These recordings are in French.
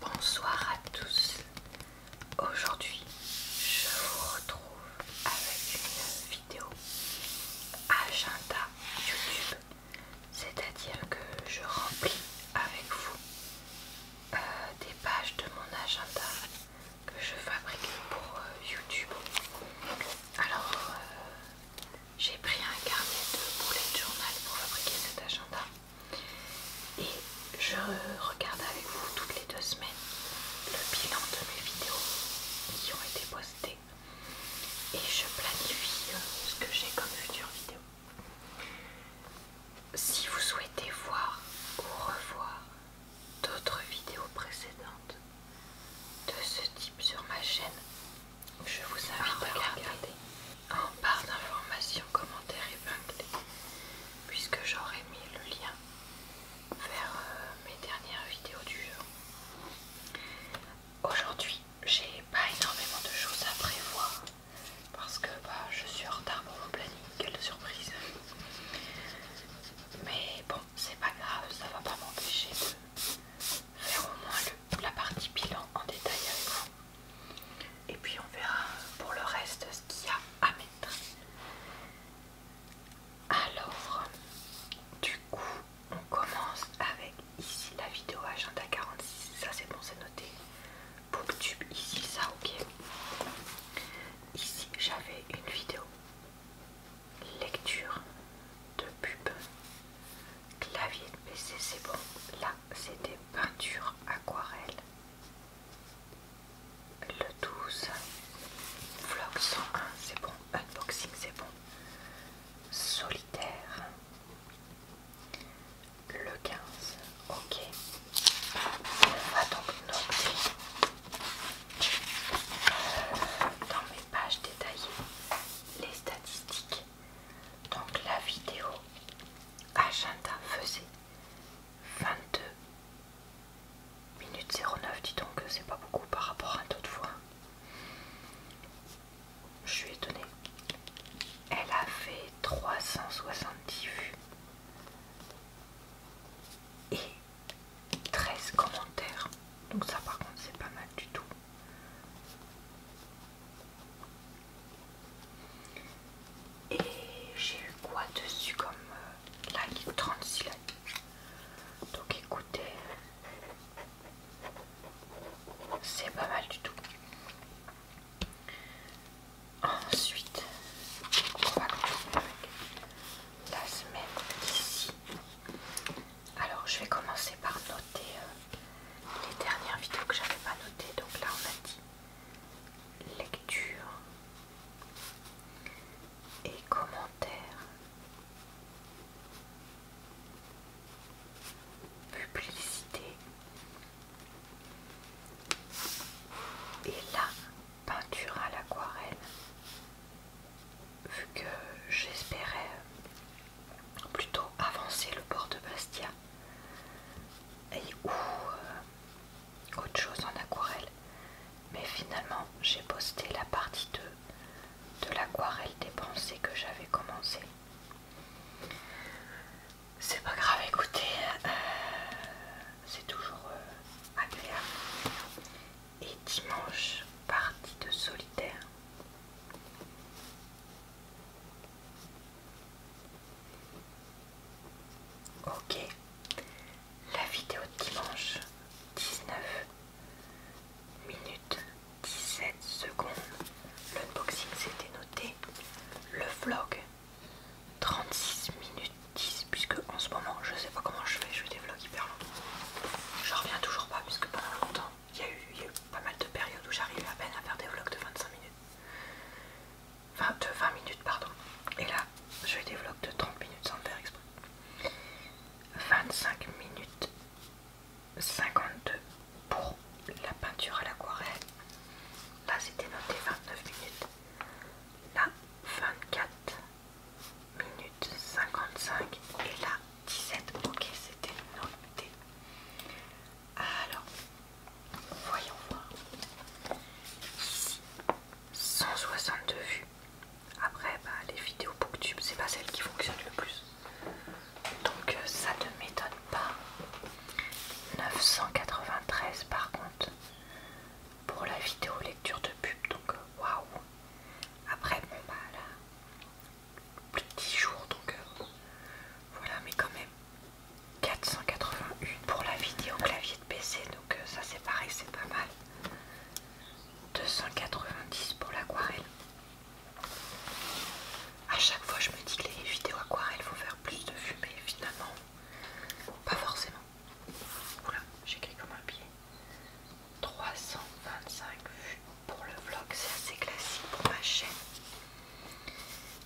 Bonsoir à tous. Aujourd'hui, je vous retrouve avec une vidéo agenda YouTube, c'est-à-dire que je remplis avec vous euh, des pages de mon agenda que je fabrique pour euh, YouTube. Alors, euh, j'ai pris un carnet de de journal pour fabriquer cet agenda et je regarde avec vous toutes les deux semaines le bilan de mes vidéos qui ont été postées et je planifie euh, ce que j'ai comme future vidéo. Si vous souhaitez voir ou revoir d'autres vidéos précédentes de ce type sur ma chaîne, je vous invite à ah, bah, les regarder en barre d'informations, commentaires épinglés, puisque j'aurai mis le lien vers euh, mes dernières vidéos du jeu. Aujourd'hui, j'ai pas énormément de choses à prévoir parce que bah, je suis en retard pour mon planning, quelle surprise! Mais bon, c'est pas grave, ça va pas m'empêcher de faire au moins la partie bilan en détail avec vous. Et puis on verra pour le reste ce qu'il y a à mettre. Alors, du coup, on commence avec ici la vidéo agenda 46. Ça c'est bon, c'est noté. Booktube, ici ça, ok. Ici j'avais une vidéo lecture de pub clavier de PC c'est bon là c'était peinture aquarelle. Le 12, vlog 101, c'est bon. Unboxing, c'est bon. Solitaire. Le 15, ok. On ah, va donc noter dans mes pages détaillées les statistiques donc la vidéo agenda faisait 22 minutes 09, dis donc c'est pas beaucoup par rapport à d'autres fois. Je suis étonnée. Elle a fait 370 vues et 13 commentaires. Donc ça par contre c'est pas mal du tout. Et j'ai eu quoi dessus comme euh, la ligne 36 Donc écoutez, c'est pas mal du tout. Ensuite, on va continuer avec la semaine d'ici. Alors je vais commencer par noter euh, les dernières vidéos que j'avais pas notées. Donc là on a dit lecture et commentaires publicité et la peinture à l'aquarelle vu que j'espérais plutôt avancer le port de Bastia et ou euh, autre chose en aquarelle. Mais finalement, j'ai posté la partie 2 de l'aquarelle des pensées que j'avais commencé. C'est pas grave, écoutez, euh, c'est toujours euh, agréable. Et dimanche, partie de solitaire. Ok, la vidéo de dimanche 19 minutes 17 secondes. L'unboxing c'était noté. Le vlog 36 minutes 10 puisque en ce moment je sais pas comment je fais, je fais des vlogs hyper longs. Je reviens toujours pas puisque pendant longtemps il y, y a eu pas mal de périodes où j'arrivais à peine à faire des vlogs de 25 minutes. 20, minutes, pardon. Et là, je développe de 30 minutes sans faire exprès. 25 minutes 52 pour la peinture à l'aquarelle. Là, c'était noté 29 minutes. Là, 24 minutes 55. Et là, 17. Ok, c'était noté. Alors, voyons voir. 162 vues. Après, bah, les vidéos Booktube, c'est pas celles qui fonctionnent le plus. Donc, euh, ça ne m'étonne pas. 993 par contre pour la vidéo lecture de pub. Donc, euh, waouh! Après, bon, bah là, plus de 10 jours donc euh, voilà, mais quand même. 481 pour la vidéo clavier de PC, donc euh, ça c'est pareil, c'est pas mal. 290 pour l'aquarelle. À chaque fois, je me dis que les vidéos aquarelles faut faire plus de vues, mais finalement, pas forcément. Oula, j'écris comme un pied. 325 vues pour le vlog, c'est assez classique pour ma chaîne.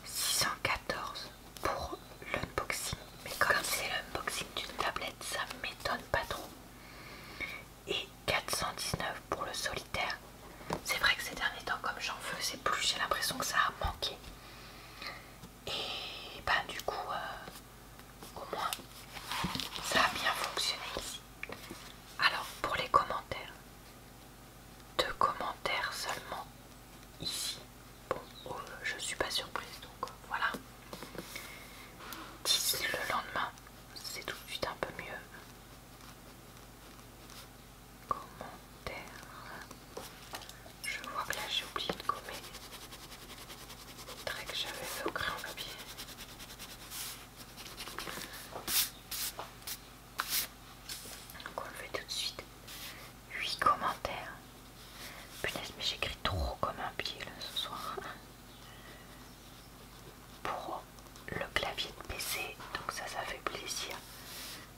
614 pour l'unboxing. Mais comme c'est l'unboxing d'une tablette, ça m'étonne pas trop. Et 419 pour le solitaire. C'est vrai que ces derniers temps, comme j'en faisais plus, j'ai l'impression que ça a manqué. Et ben du coup, euh, au moins, ça a bien fonctionné ici. Alors pour les commentaires, deux commentaires seulement ici. Bon, je oh, je suis pas surprise donc euh, voilà. D'ici le lendemain, c'est tout de suite un peu mieux. Commentaires. Je vois que là j'ai oublié de gommer. Très que j'avais fait au crayon papier. Donc on le fait tout de suite. 8 commentaires. Putain mais j'écris trop comme un pied ce soir. Pour le clavier de PC, donc ça ça fait plaisir.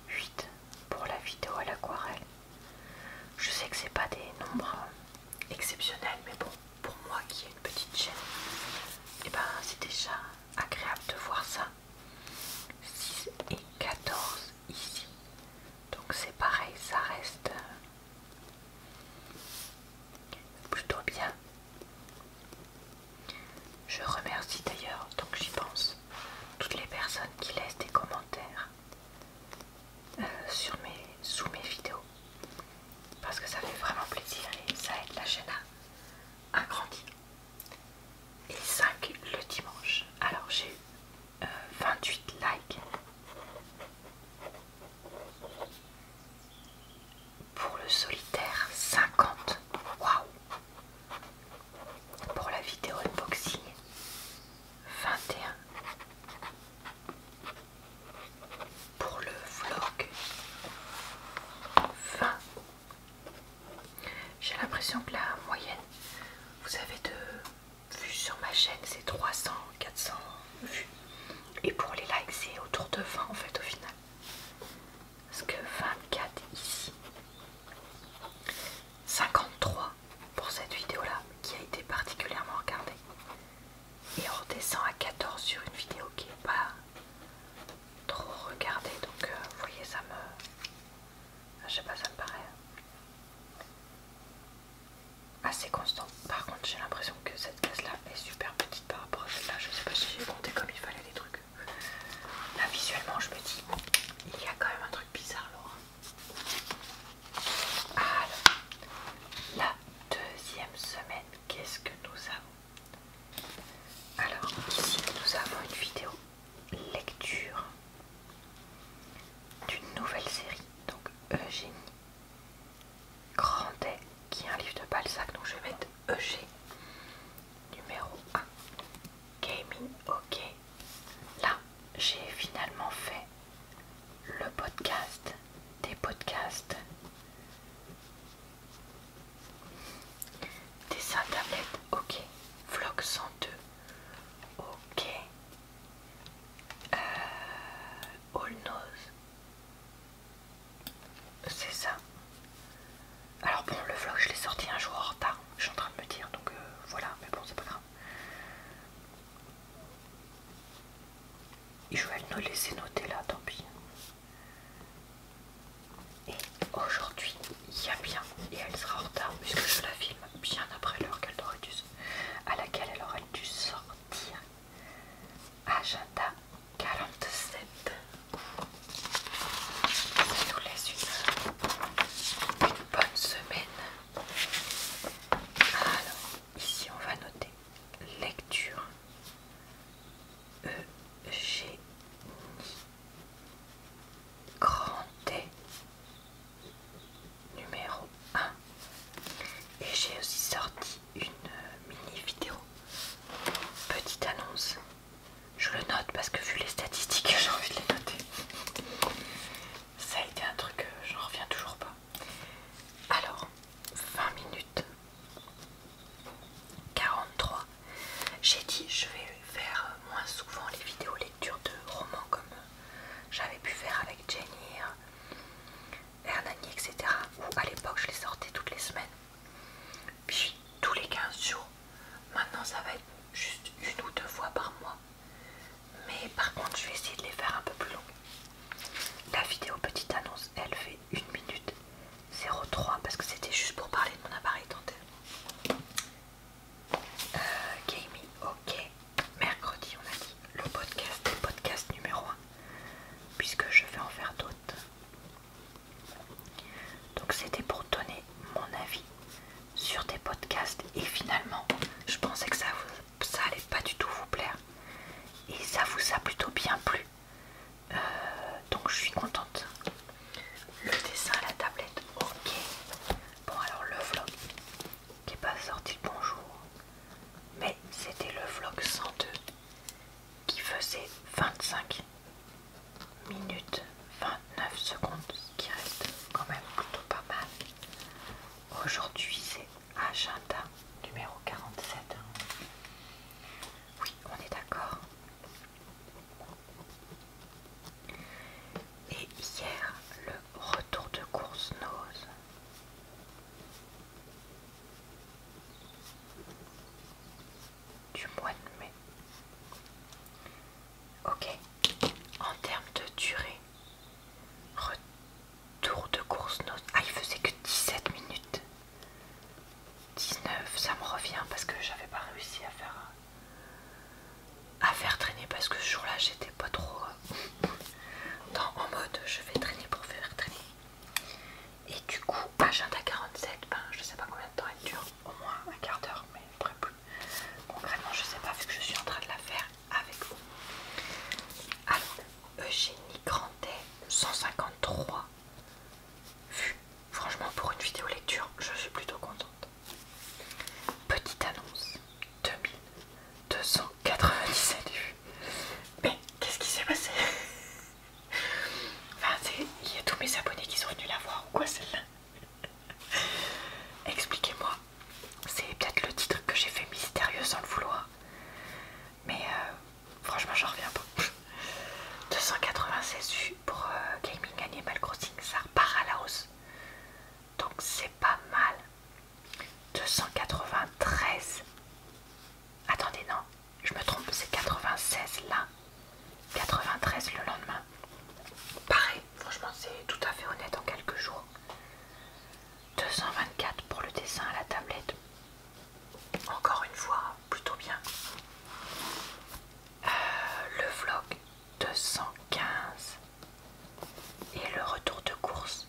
8 pour la vidéo à l'aquarelle. Je sais que c'est pas des nombres hein, exceptionnels, mais bon, pour moi qui ai une petite chaîne, et eh ben c'est déjà agréable de voir ça. 6 et 14 ici. Donc c'est pareil, ça reste euh, plutôt bien. Je remercie d'ailleurs, donc j'y pense, toutes les personnes qui laissent des commentaires euh, sur mes, sous mes vidéos. Parce que ça fait vraiment plaisir et ça aide la chaîne à grandir et 5 le dimanche. Alors j'ai eu 28 euh, likes pour le solitaire, 50. Waouh! Pour la vidéo unboxing, 21. Pour le vlog, 20. J'ai l'impression que la moyenne, vous avez de vues sur ma chaîne, c'est 300, 400 vues. Et pour les likes, c'est autour de 20 en fait au final. Parce que 24 ici. 53 pour cette vidéo-là, qui a été particulièrement regardée. Et on redescend à 14 sur une vidéo qui n'est pas trop regarder donc euh, vous voyez ça me je sais pas ça me paraît assez constant par contre j'ai l'impression que cette case là est super petite par rapport à celle là je sais pas si j'ai compté comme il fallait les trucs là visuellement je me dis il y a quand même un truc bizarre Laura alors la deuxième semaine qu'est-ce que nous avons alors ici nous avons une vidéo lecture d'une nouvelle série, donc Eugénie Grandet, qui est un livre de Balzac, donc je vais mettre Eugé numéro 1. Gaming, ok. Là, j'ai finalement fait le podcast des podcasts Dessin tablette, ok. Vlog 102, ok. Euh, all nose, c'est ça. Alors bon, le vlog, je l'ai sorti un jour en retard, je suis en train de me dire, donc euh, voilà, mais bon, c'est pas grave. je vais nous laisser noter là, tant pis. Et aujourd'hui, il y a bien, et elle sera en retard puisque je la filme bien après l'heure qu'elle à laquelle elle aurait dû sortir. Agenda 47. Je nous laisse une, bonne semaine. Alors, ici on va noter lecture EG grand T numéro 1 et j'ai aussi sorti une euh, mini vidéo petite annonce je le note parce que vu les statistiques j'ai envie de les noter ça a été un truc euh, j'en reviens toujours pas alors 20 minutes 43. J'ai dit je vais faire moins souvent les vidéos lecture de romans comme euh, j'avais pu faire avec Jenny, Hernani, etc. Où à l'époque je les sortais toutes les semaines. Puis tous les 15 jours. Maintenant ça va être juste une ou deux fois par mois. Mais par contre je vais essayer de les faire un peu plus longs. La vidéo petite annonce elle fait une minute 03 parce que c'était juste pour parler de mon appareil dentaire. Euh, ok. Mercredi, on a dit le podcast, le podcast numéro 1, puisque je vais en faire d'autres. Donc, c'était pour donner mon avis sur des podcasts, et finalement, je pensais que ça, ça allait pas du tout vous plaire, et ça vous a plutôt bien plu. Euh, donc je suis contente. Le dessin à la tablette, ok. Bon alors le vlog qui n'est pas sorti le bonjour. Mais c'était le vlog 102 qui faisait 25 minutes 29 secondes, qui reste quand même plutôt pas mal. Aujourd'hui c'est agenda numéro 47. Oui, on est d'accord. Et hier, le retour de course nose. Du mois de mai. Ok. En termes de durée, retour de course nose. Ah, il faisait que 17 minutes. 19, ça me revient parce que j'avais pas réussi à faire à faire traîner parce que ce jour-là j'étais pas trop euh, dans, en mode je vais traîner pour faire traîner. Et du coup, agenda 47, ben, je sais pas combien de temps elle dure, au moins un quart d'heure, mais après plus. Concrètement, je sais pas vu que je suis en train de la faire avec vous. Alors, Eugénie Grandet, 153 vues. Franchement, pour une vidéo lecture, je suis plutôt contente. Petite annonce 2297 vues. Mais qu'est-ce qui s'est passé Enfin, il y a tous mes abonnés qui sont venus la voir ou quoi celle-là Expliquez-moi. C'est peut-être le titre que j'ai fait mystérieux sans le vouloir. Mais euh, franchement, j'en reviens pas. 296 vues pour Gaming Animal Crossing ça repart à la hausse donc c'est pas mal 293 attendez non je me trompe c'est 96 là 93 le lendemain pareil franchement c'est tout à fait honnête en quelques jours 224 pour le dessin à la tablette encore une fois plutôt bien le vlog 215 et le retour de course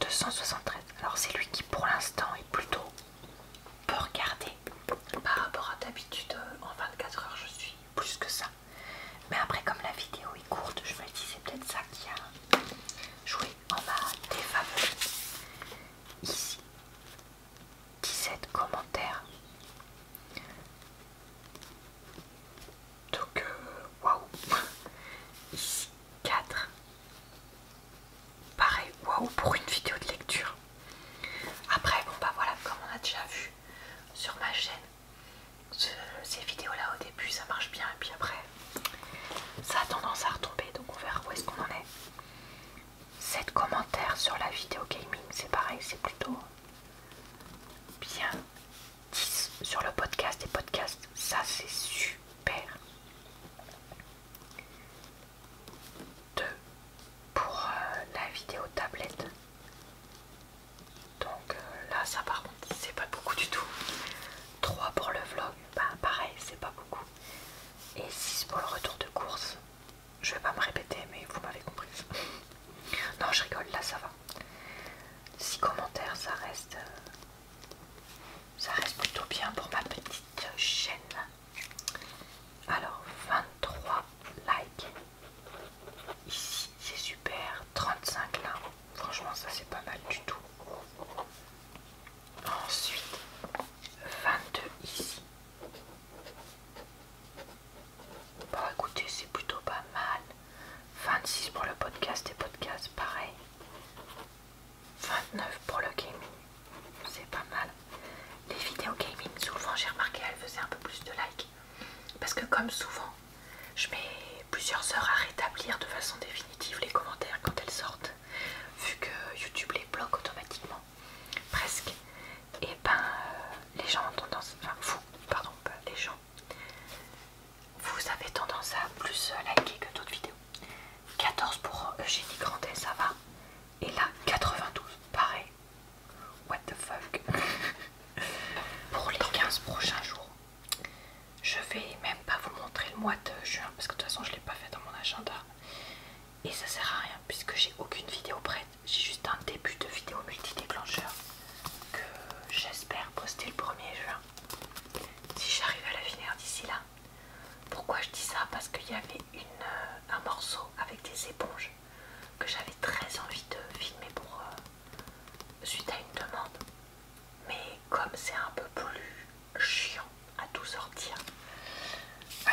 273. Alors c'est lui qui pour l'instant est plutôt peu regardé par rapport à d'habitude euh, en 24 heures je suis plus que ça. Mais après comme la vidéo est courte je me dis c'est peut-être ça qui a joué en ma défaveur. Ici 17 commentaires. Donc, euh, waouh! 4. Pareil, waouh pour une vidéo de lecture. Après, bon bah voilà, comme on a déjà vu sur ma chaîne, ces vidéos-là au début ça marche bien, et puis après ça a tendance à retomber, donc on verra où est-ce qu'on en est. 7 commentaires sur la vidéo gaming, c'est pareil, c'est plutôt bien. 10 sur le podcast et podcast, ça c'est super. 2 pour euh, la vidéo tablette. Donc euh, là, ça par contre, c'est pas beaucoup du tout. 3 pour le vlog, bah, pareil, c'est pas beaucoup. Et 6 pour le retour de course. Je vais pas me répéter, mais vous m'avez compris. non, je rigole, là ça va. 6 commentaires, ça reste. Euh, ça reste plutôt bien pour ma petite chaîne. Alors, 23 likes. Ici, c'est super. 35 là. Franchement, ça c'est pas mal du tout. Ensuite, 22 ici. Bon, écoutez, c'est plutôt pas mal. 26 pour le podcast et podcast, pareil. 29 pour le gaming, c'est pas mal. Les vidéos gaming, souvent j'ai remarqué, elles faisaient un peu plus de likes. Parce que comme souvent, je mets plusieurs heures à rétablir de façon définitive les commentaires quand elles sortent. Vu que YouTube les bloque automatiquement. Presque et eh ben euh, les gens ont tendance, enfin vous, pardon, les gens, vous avez tendance à plus euh, liker que d'autres vidéos. 14 pour euh, Eugénie Grandet, ça va. Et là, 92, pareil. What the fuck Pour les 15 prochains jours, je vais même pas vous montrer le mois de juin parce que de toute façon, je l'ai pas fait dans mon agenda et ça sert à rien puisque j'ai aucune vidéo prête j'ai juste un début de vidéo multi-déclencheur que j'espère poster le 1er juin si j'arrive à la finir d'ici là pourquoi je dis ça parce qu'il y avait euh, un morceau avec des éponges que j'avais très envie de filmer pour euh, suite à une demande mais comme c'est un peu plus chiant à tout sortir euh,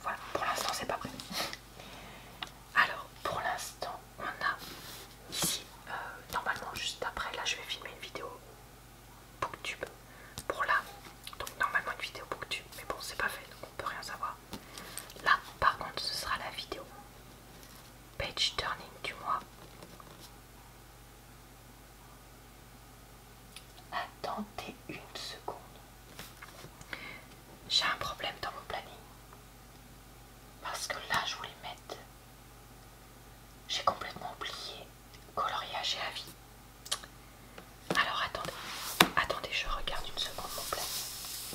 voilà, pour l'instant c'est pas prêt. Alors pour l'instant on a ici, euh, normalement juste après, là je vais filmer une vidéo booktube pour là. Donc normalement une vidéo booktube, mais bon c'est pas fait donc on peut rien savoir. Là par contre ce sera la vidéo page turning du mois. Attendez une seconde. J'ai un problème dans mon planning. Parce que là, je voulais mettre. J'ai complètement oublié coloriage et avis. Alors attendez, attendez, je regarde une seconde mon planning.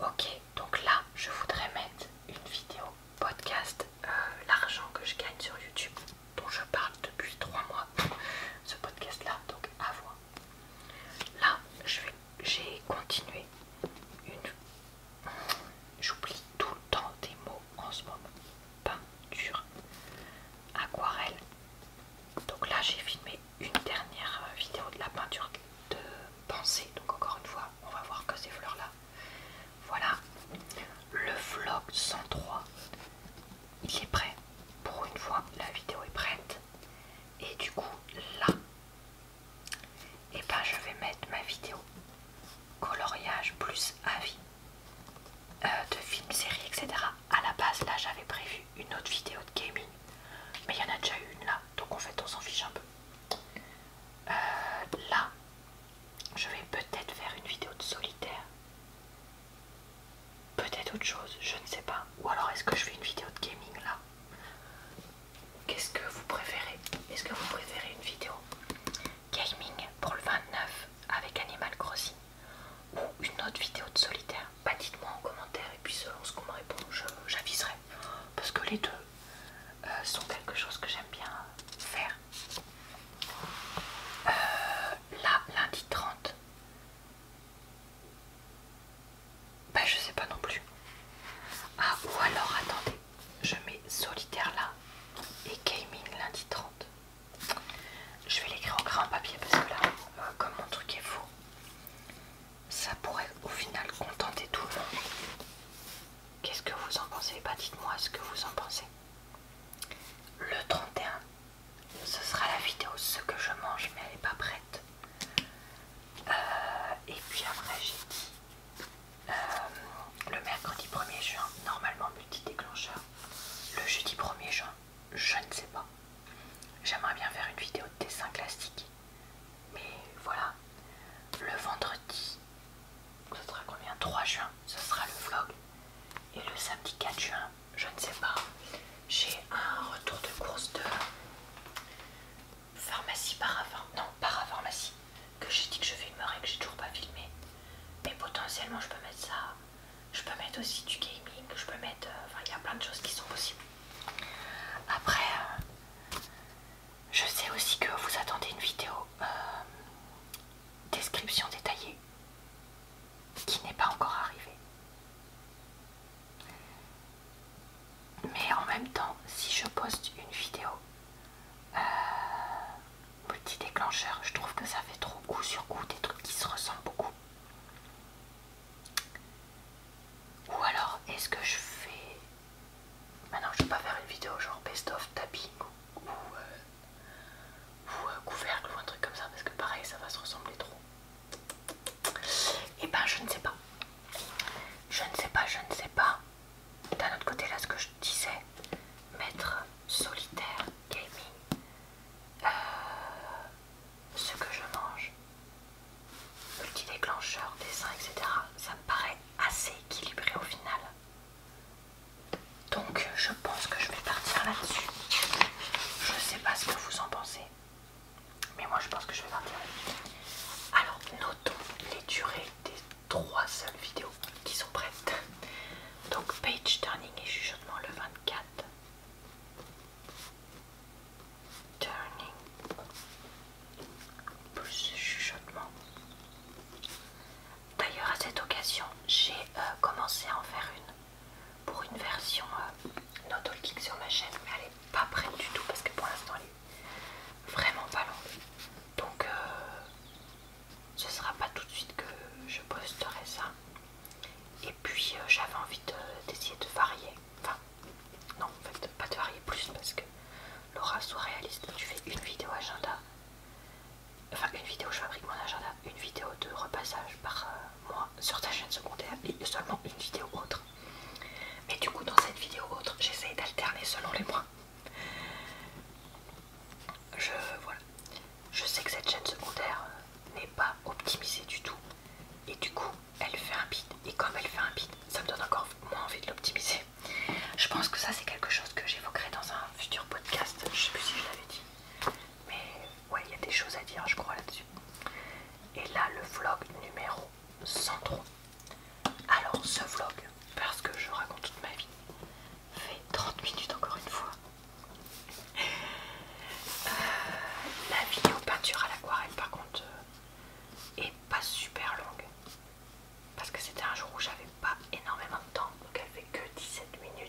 Ok, donc là, je voudrais mettre une vidéo podcast, euh, l'argent que je gagne sur YouTube dont je parle depuis 3 mois, ce podcast-là, donc à voir. Là, j'ai continué une... J'oublie tout le temps des mots en ce moment. Peinture, aquarelle. Donc là, j'ai filmé une dernière euh, vidéo de la peinture de pensée. Donc encore une fois, on va voir que ces fleurs-là. Voilà le vlog 103 il est prêt. Pour une fois, la vidéo est prête. Et du coup, là, et eh ben je vais mettre ma vidéo coloriage plus avis euh, de films, séries, etc. À la base, là, j'avais prévu une autre vidéo de gaming, mais il y en a déjà une là, donc en fait, on s'en fiche un peu. Euh, là, je vais peut-être faire une vidéo de solitaire. Peut-être autre chose, je ne sais pas. Ou alors est-ce que je fais une vidéo de gaming là Qu'est-ce que vous préférez Est-ce que vous préférez une vidéo gaming pour le 29 avec Animal Crossing ou une autre vidéo de solitaire Bah dites-moi en commentaire et puis selon ce qu'on me répond, j'aviserai. Parce que les deux euh, sont quelque chose que j'aime bien faire. Euh, là, lundi 30, bah je sais pas non plus. Ah ou alors attendez, je mets solitaire là et gaming lundi 30. Je vais l'écrire en grand papier parce que là, euh, comme mon truc est faux, ça pourrait au final contenter tout le monde. Qu'est-ce que vous en pensez Bah dites-moi ce que vous en pensez. Le 31 ce sera la vidéo ce que je mange mais elle n'est pas prête euh, et puis après j'ai dit euh, le mercredi 1er juin normalement multi déclencheur le jeudi 1er juin je ne sais pas j'aimerais bien faire une vidéo de dessin classique mais voilà le vendredi ce sera combien 3 juin ce sera le vlog et le samedi 4 juin je ne sais pas. J'ai un retour de course de pharmacie parapharmacie, non que j'ai dit que je filmerais et que j'ai toujours pas filmé. Mais potentiellement je peux mettre ça, je peux mettre aussi du gaming, je peux mettre, euh, enfin il y a plein de choses qui sont possibles. Après, euh, je sais aussi que vous attendez une vidéo euh, description détaillée qui n'est pas encore arrivé. Mais en même temps, si je poste une vidéo petit euh, déclencheur, je trouve que ça fait trop coup sur coup des trucs qui se ressemblent beaucoup. Ou alors, est-ce que je fais... Maintenant, je vais pas faire une vidéo genre best of tapping ou euh, ou un couvercle ou un truc comme ça parce que pareil ça va se ressembler trop et eh ben je ne sais pas je ne sais pas je ne sais pas d'un autre côté là ce que je disais mettre solitaire gaming euh, ce que je mange petit déclencheur dessin etc ça me paraît assez équilibré au final donc je pense que je vais partir là-dessus. Je sais pas ce que vous en pensez. Mais moi je pense que je vais partir là-dessus. Alors notons les durées des trois seules vidéos qui sont prêtes. Donc page turning et chuchotement le 24. Turning plus chuchotement. D'ailleurs à cette occasion j'ai euh, commencé à en faire une pour une version euh, no sur ma chaîne, mais elle est pas prête du tout parce que pour l'instant elle est vraiment pas longue. Donc ce euh, ce sera pas tout de suite que je posterai ça. Et puis euh, j'avais envie d'essayer de, varier. Enfin, non, en fait, pas de varier plus parce que Laura, soit réaliste, tu fais une vidéo agenda enfin une vidéo je fabrique mon agenda, une vidéo de repassage par euh, mois sur ta chaîne secondaire et seulement une vidéo autre. Mais du coup dans cette vidéo autre j'essaye d'alterner selon les mois. Je voilà. Je sais que cette chaîne secondaire euh, n'est pas optimisée du tout et du coup elle fait un beat. et comme elle fait un bide, ça me donne encore moins envie de l'optimiser. Je pense que ça c'est quelque chose que j'évoquerai dans un futur podcast, je sais plus si je l'avais dit, mais ouais, il y a des choses à dire, je crois, là-dessus. Et là, le vlog numéro 103. Alors, ce vlog, parce que je raconte toute ma vie, fait 30 minutes encore une fois. Euh, la vidéo peinture à l'aquarelle, par contre, euh, est pas super longue. Parce que c'était un jour où j'avais pas énormément de temps, donc elle fait que 17 minutes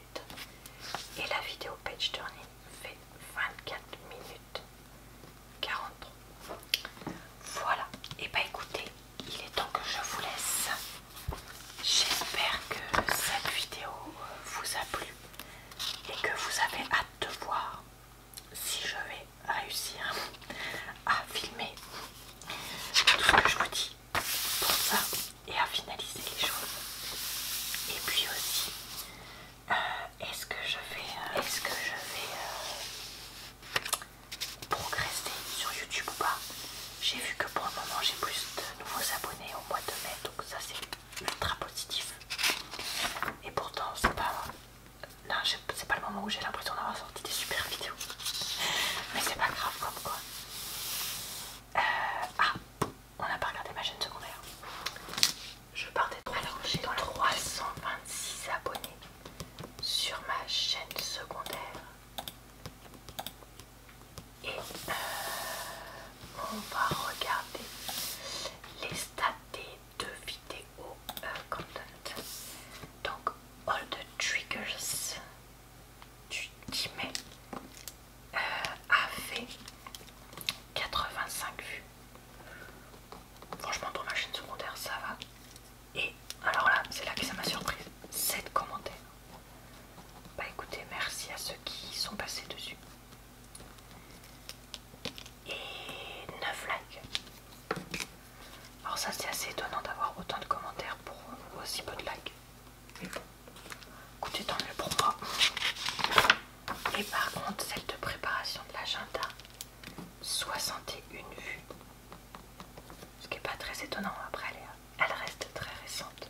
et la vidéo page turning fait 24 minutes 40 Voilà, et eh bah ben, écoutez, il est temps que je vous laisse. J'espère que cette vidéo euh, vous a plu et que vous avez hâte de voir si je vais réussir à filmer tout ce que je vous dis. Pour ça, et à finaliser les choses. Et puis aussi, euh, est-ce que je vais, euh, est-ce que je vais euh, progresser sur YouTube ou pas J'ai vu que pour le moment j'ai plus de nouveaux abonnés au mois de mai, donc ça c'est ultra positif. Et pourtant c'est pas, non, c'est pas le moment où j'ai l'impression d'avoir sorti des super vidéos, mais c'est pas grave comme quoi. ah, on n'a pas regardé ma chaîne secondaire. Je partais trop Alors j'ai 326 abonnés sur ma chaîne secondaire. Et euh, on va regarder les stats des deux vidéos euh, content. Donc all the triggers du 10 mai a fait 85 vues. Franchement, dans ma chaîne secondaire, ça va. Et alors là, c'est là que ça m'a surprise. 7 commentaires. Bah écoutez, merci à ceux qui sont passés dessus. Et 9 likes. Alors ça, c'est assez étonnant d'avoir autant de commentaires pour aussi peu de likes. Écoutez, dans le pour Et par contre, celle de préparation de l'agenda, 61 vues. Ce qui est pas très étonnant, après elle, reste très récente.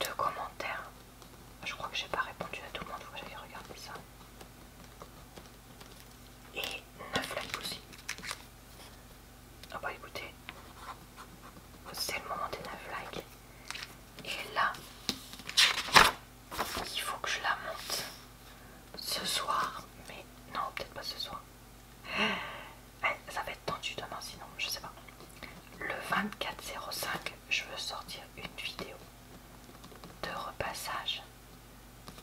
Deux commentaires. Je crois que j'ai pas répondu à tout le monde, faut que j'aille regarder ça. Et 9 likes aussi. Ah bah écoutez, c'est le moment des 9 likes. Et là, il faut que je la monte ce soir. Mais non, peut-être pas ce soir. Eh, ça va être tendu demain sinon, je sais pas. Le 24.05, je veux sortir une vidéo de repassage.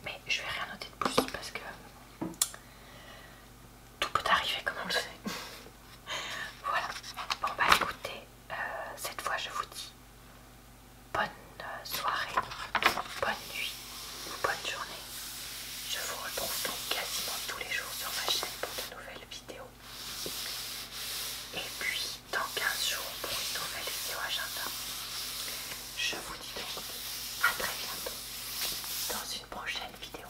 Mais je vais rien noter de plus parce que tout peut arriver comme on le sait. voilà. Bon bah écoutez, euh, cette fois je vous dis bonne euh, soirée, bonne nuit bonne journée. Je vous retrouve donc quasiment tous les jours sur ma chaîne pour de nouvelles vidéos. Et puis dans 15 jours pour une nouvelle vidéo agenda. Je vous dis donc à très bientôt dans une prochaine vidéo.